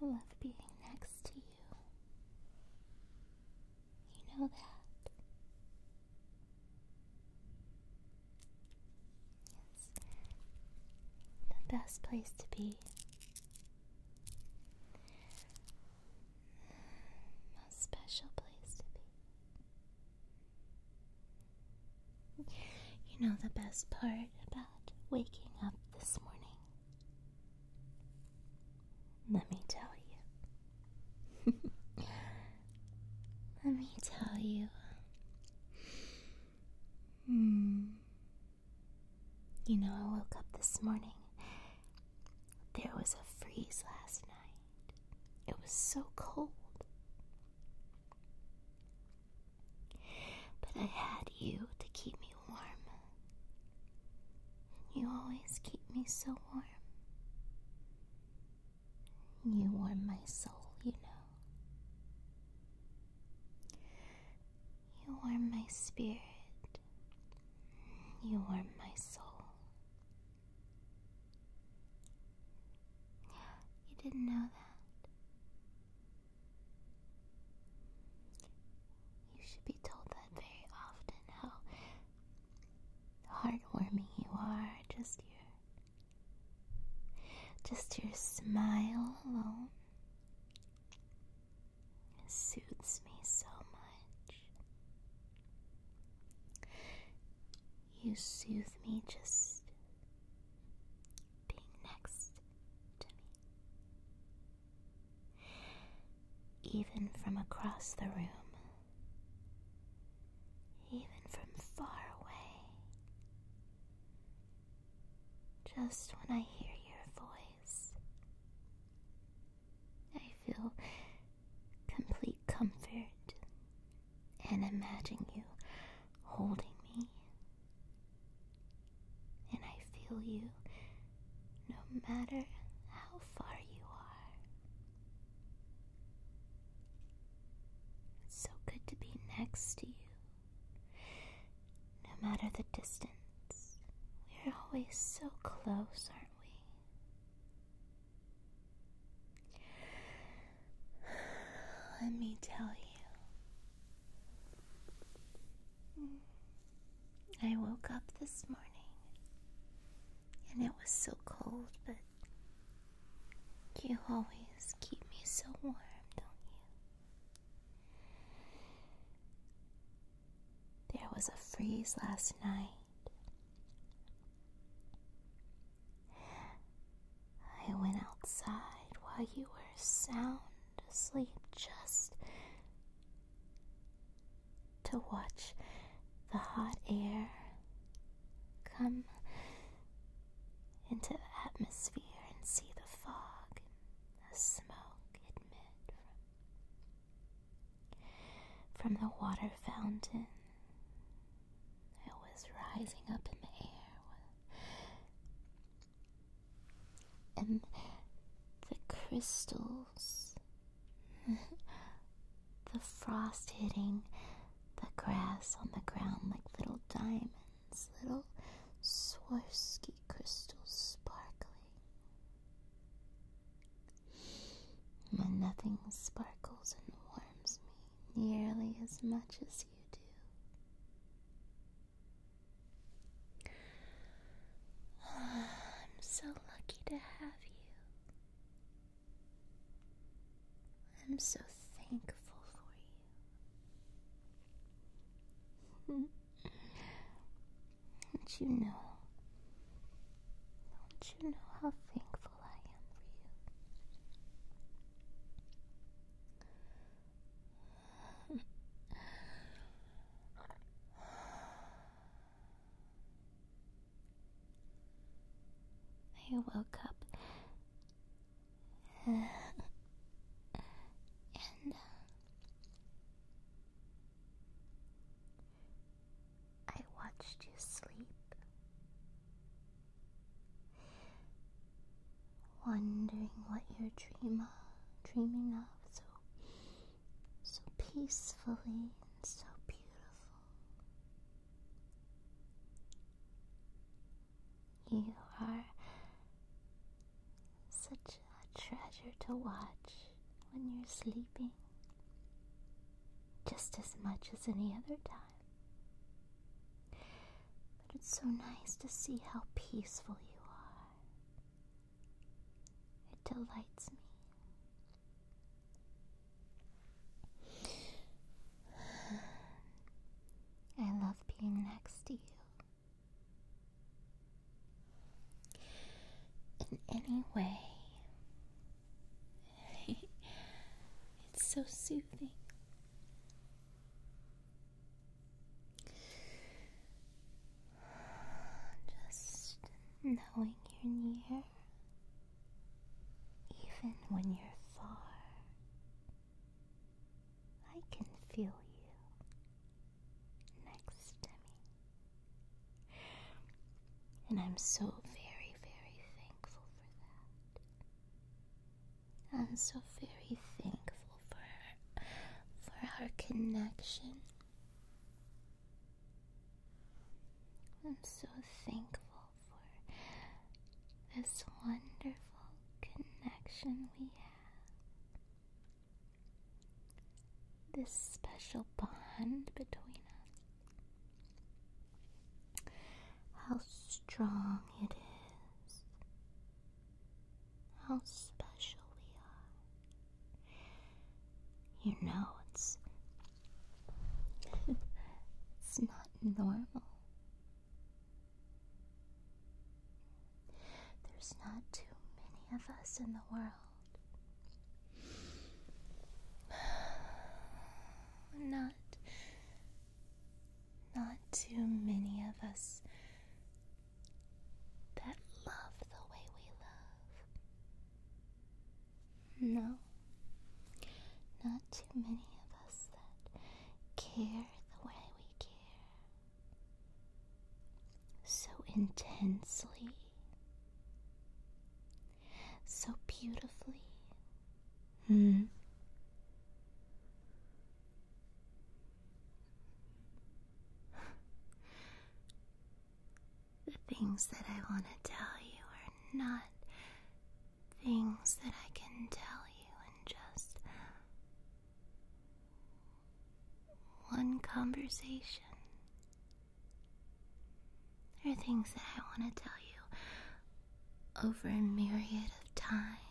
I love being next to you. You know that. Yes. The best place to be. Mm, a special place to be. You know the best part about waking up this morning? Let me tell you. Let me tell you. Hmm. You know, I woke up this morning. There was a freeze last night. It was so cold. But I had you to keep me warm. You always keep me so warm. You warm my soul, you know. You are my spirit. You are my soul. You didn't know that. You should be told that very often how heartwarming you are, just your just your smile alone suits me so much. You soothe me just being next to me. Even from across the room, even from far away, just when I hear your voice, I feel complete comfort and imagine you holding me. And I feel you no matter how far you are. so good to be next to you. No matter the distance, we are always so close, aren't we? Let me tell you. I woke up this morning and it was so cold, but you always keep me so warm, don't you? There was a freeze last night. I went outside while you were sound asleep just to watch the hot air Come into the atmosphere and see the fog the smoke emit from, from the water fountain. It was rising up in the air, and the crystals, the frost hitting the grass on the ground like little diamonds, little Swarovski crystals sparkling. And nothing sparkles and warms me nearly as much as you do. I'm so lucky to have you. I'm so thankful for you. Don't you know? Don't you know how thankful I am for you? I woke up and uh, I watched you sleep, wondering what you're dream of, dreaming of so so peacefully and so beautiful. You are such a treasure to watch when you're sleeping, just as much as any other time. But it's so nice to see how peaceful you are. It delights me. I love being next to you. In any way, it's so soothing. Just knowing you're near even when you're far, I can feel you next to me. And I'm so very, very thankful for that. I'm so very thankful for, for our connection. I'm so thankful for this wonderful connection we have. This special bond between us. How strong it is. How special we are. You know, it's it's not normal. There's not too many of us in the world. Not. Not too many of us that love the way we love. No, not too many of us that care the way we care so intensely, so beautifully. Hmm. The things that I want to tell you are not things that I can tell you in just one conversation. There are things that I want to tell you over a myriad of time,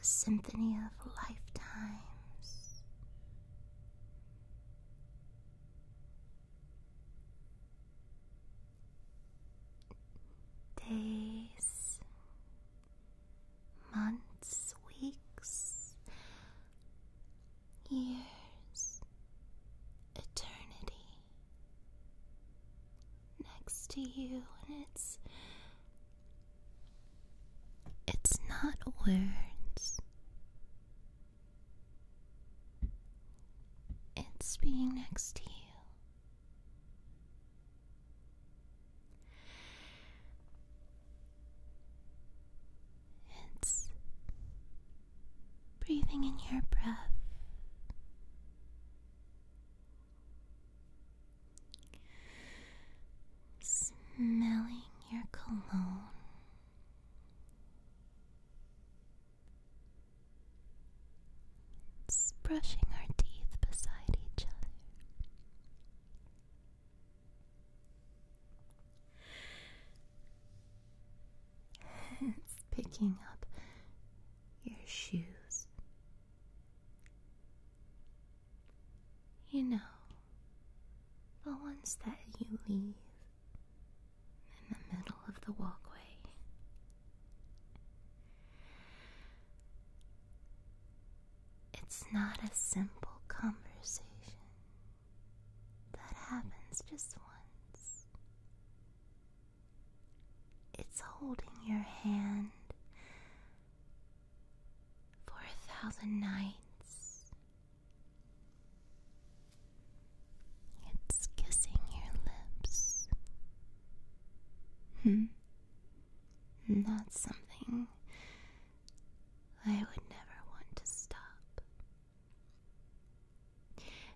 a symphony of lifetimes days, months, weeks, years, eternity next to you, and it's it's not words. It's being next to you. It's breathing in your breath. Smelling your cologne it's brushing our teeth beside each other. it's picking up your shoes. You know, the ones that you leave in the middle of the walkway. It's not a simple conversation that happens just once. It's holding your hand for a thousand nights it's kissing your lips. Hmm. That's something I would never want to stop.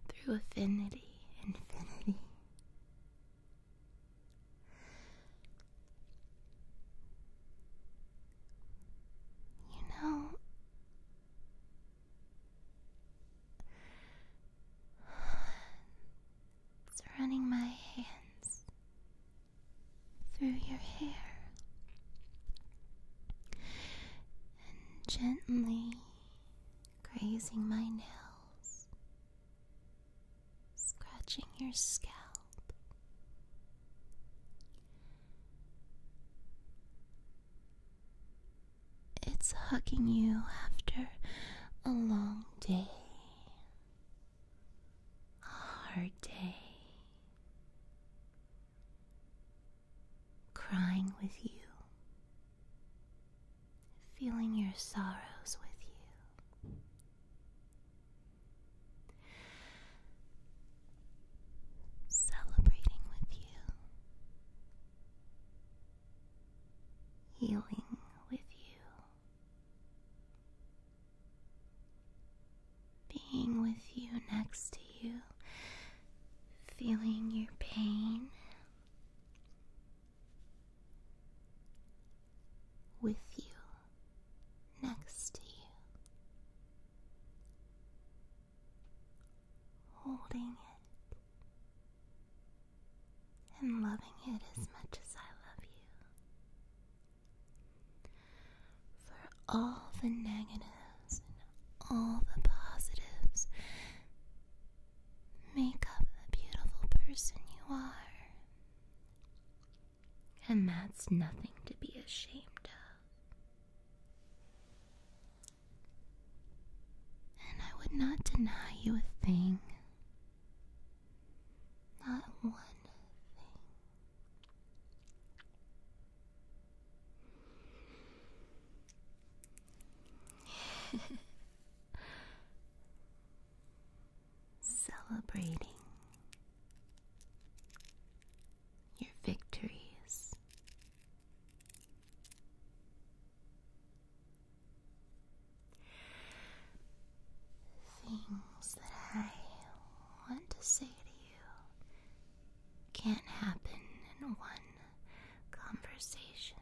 Through affinity, infinity. You know, it's running my hands through your hair and gently grazing my nails, scratching your scalp. It's hugging you after a long day, a hard day, crying with you, feeling your sorrows with you. Celebrating with you, healing with you, being with you next to you, feeling your pain. With you next to you, holding it and loving it as much as I love you. For all the negatives and all the positives make up the beautiful person you are. And that's nothing to be ashamed of. And I would not deny you a thing. Not one thing. Celebrating your victories. Things that I want to say to you can't happen in one conversation,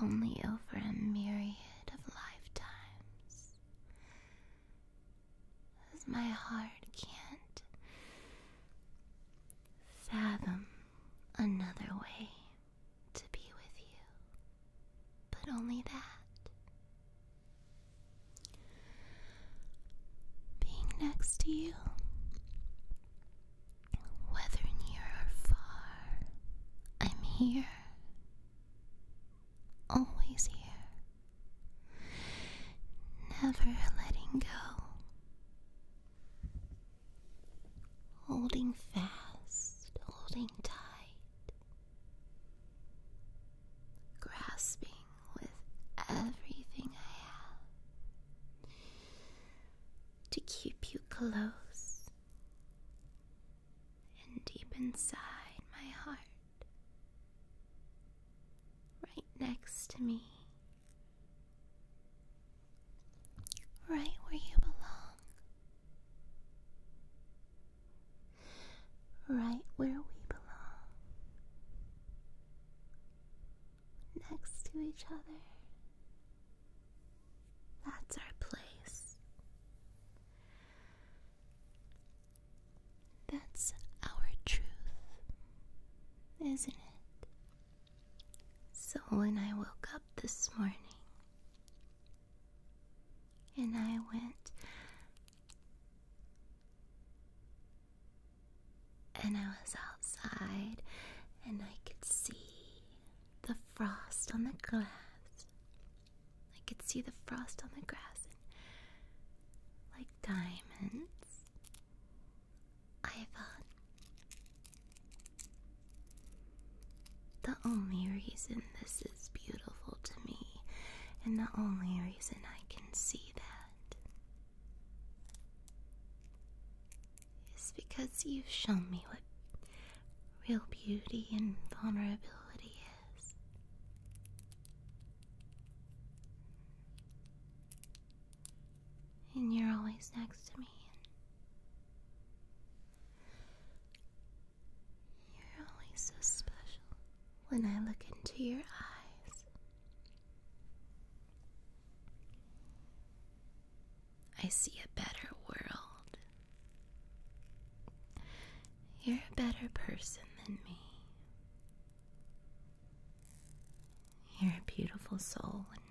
only over a myriad of lifetimes as my heart can't fathom another way to be with you, but only that. Being next to you, whether near or far, I'm here, always here never letting go, holding fast, holding tight, grasping with everything I have to keep you close and deep inside my heart, right next to me, right where you belong, right where we belong, next to each other. That's our place. That's our truth, isn't it? So when I woke up this morning and I went and I was outside and I could see the frost on the glass I could see the frost on the grass like diamonds. I thought the only reason this is beautiful to me, and the only reason I can see that, is because you've shown me what real beauty and vulnerability is. And you're always next to me. You're always so special when I look into your eyes. I see a better world you're a better person than me. You're a beautiful soul, and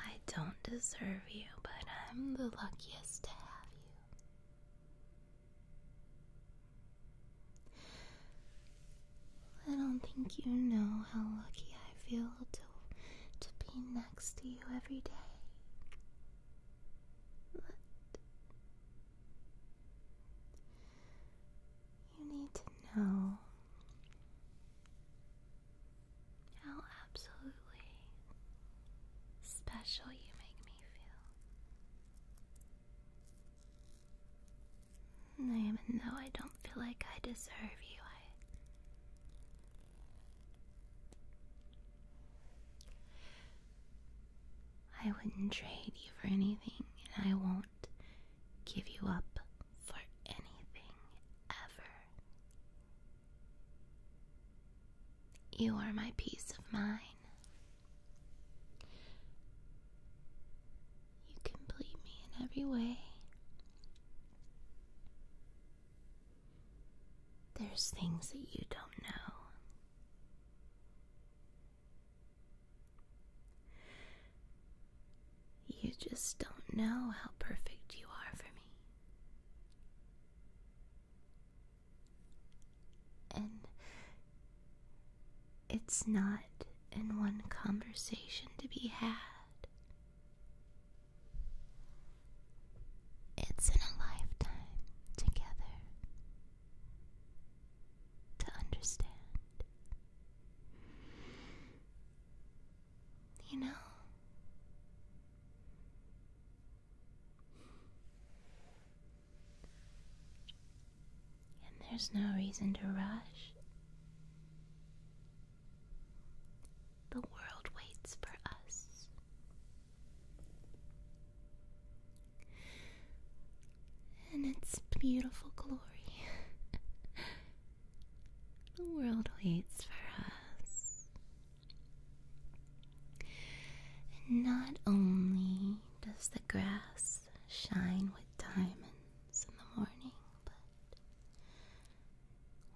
I don't deserve you, but I'm the luckiest to have you. I don't think you know how lucky I feel to to be next to you every day. you need to know how absolutely special you make me feel. And even though I don't feel like I deserve you, I I wouldn't trade you for anything, and I won't give you up for anything ever. You are my peace of mind. You complete me in every way. There's things that you don't know. You just don't know how perfect you are for me. And it's not in one conversation to be had. It's in a lifetime together to understand. You know, and there's no reason to rush. The world waits for us. In its beautiful glory, the world waits for us. And not only does the grass shine with diamonds in the morning, but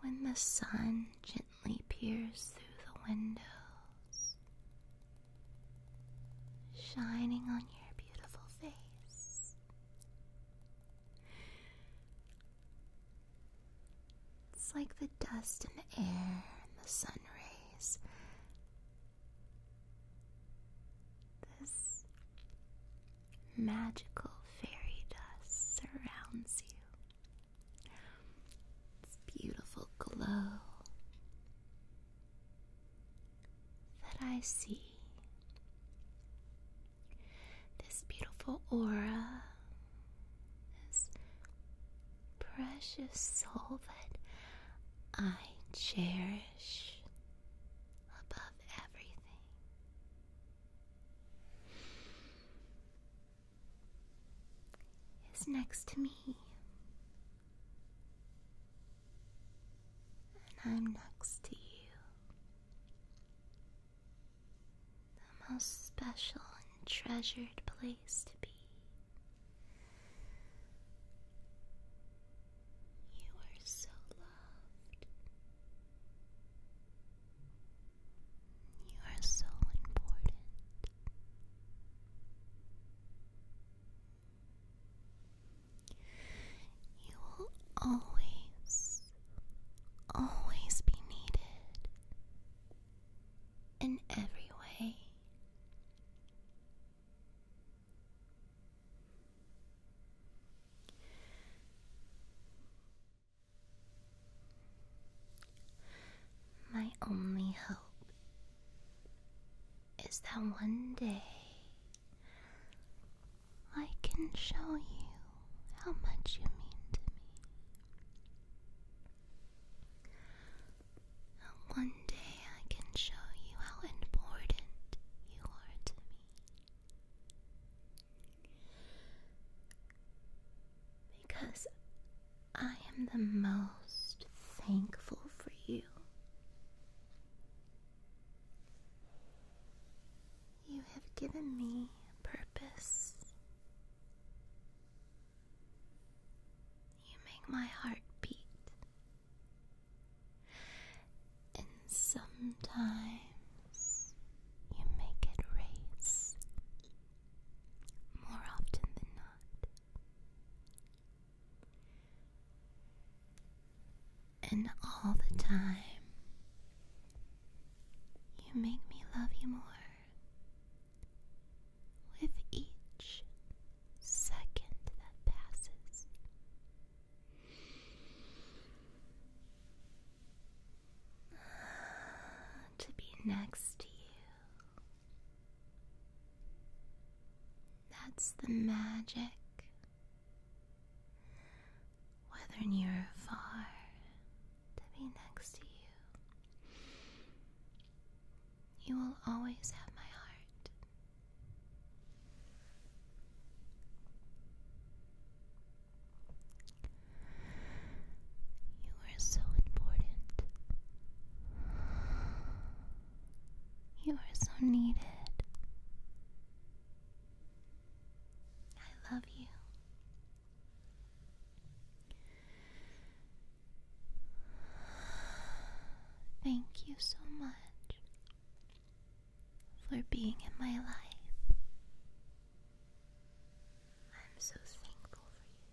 when the sun gently peers through the windows, shining on your beautiful face. It's like the dust in the air and the sun rays. This magical fairy dust surrounds you. This beautiful glow that I see. This beautiful aura, this precious soul that I cherish above everything is next to me. And I'm next to you. The most special and treasured place to be. You are so loved. You are so important. You will always, always be needed in every way. My only hope is that one day I can show you how much you mean to me. One day I can show you how important you are to me. Because I am the most thankful for you. You have given me purpose. You make my heart beat. And sometimes you make it race more often than not. And all the time, you make me love you more with each second that passes. to be next to you. That's the magic. Whether near or far, to be next to you. You will always have my heart. You are so important. You are so needed. I love you. Thank you so much for being in my life. I'm so thankful for you.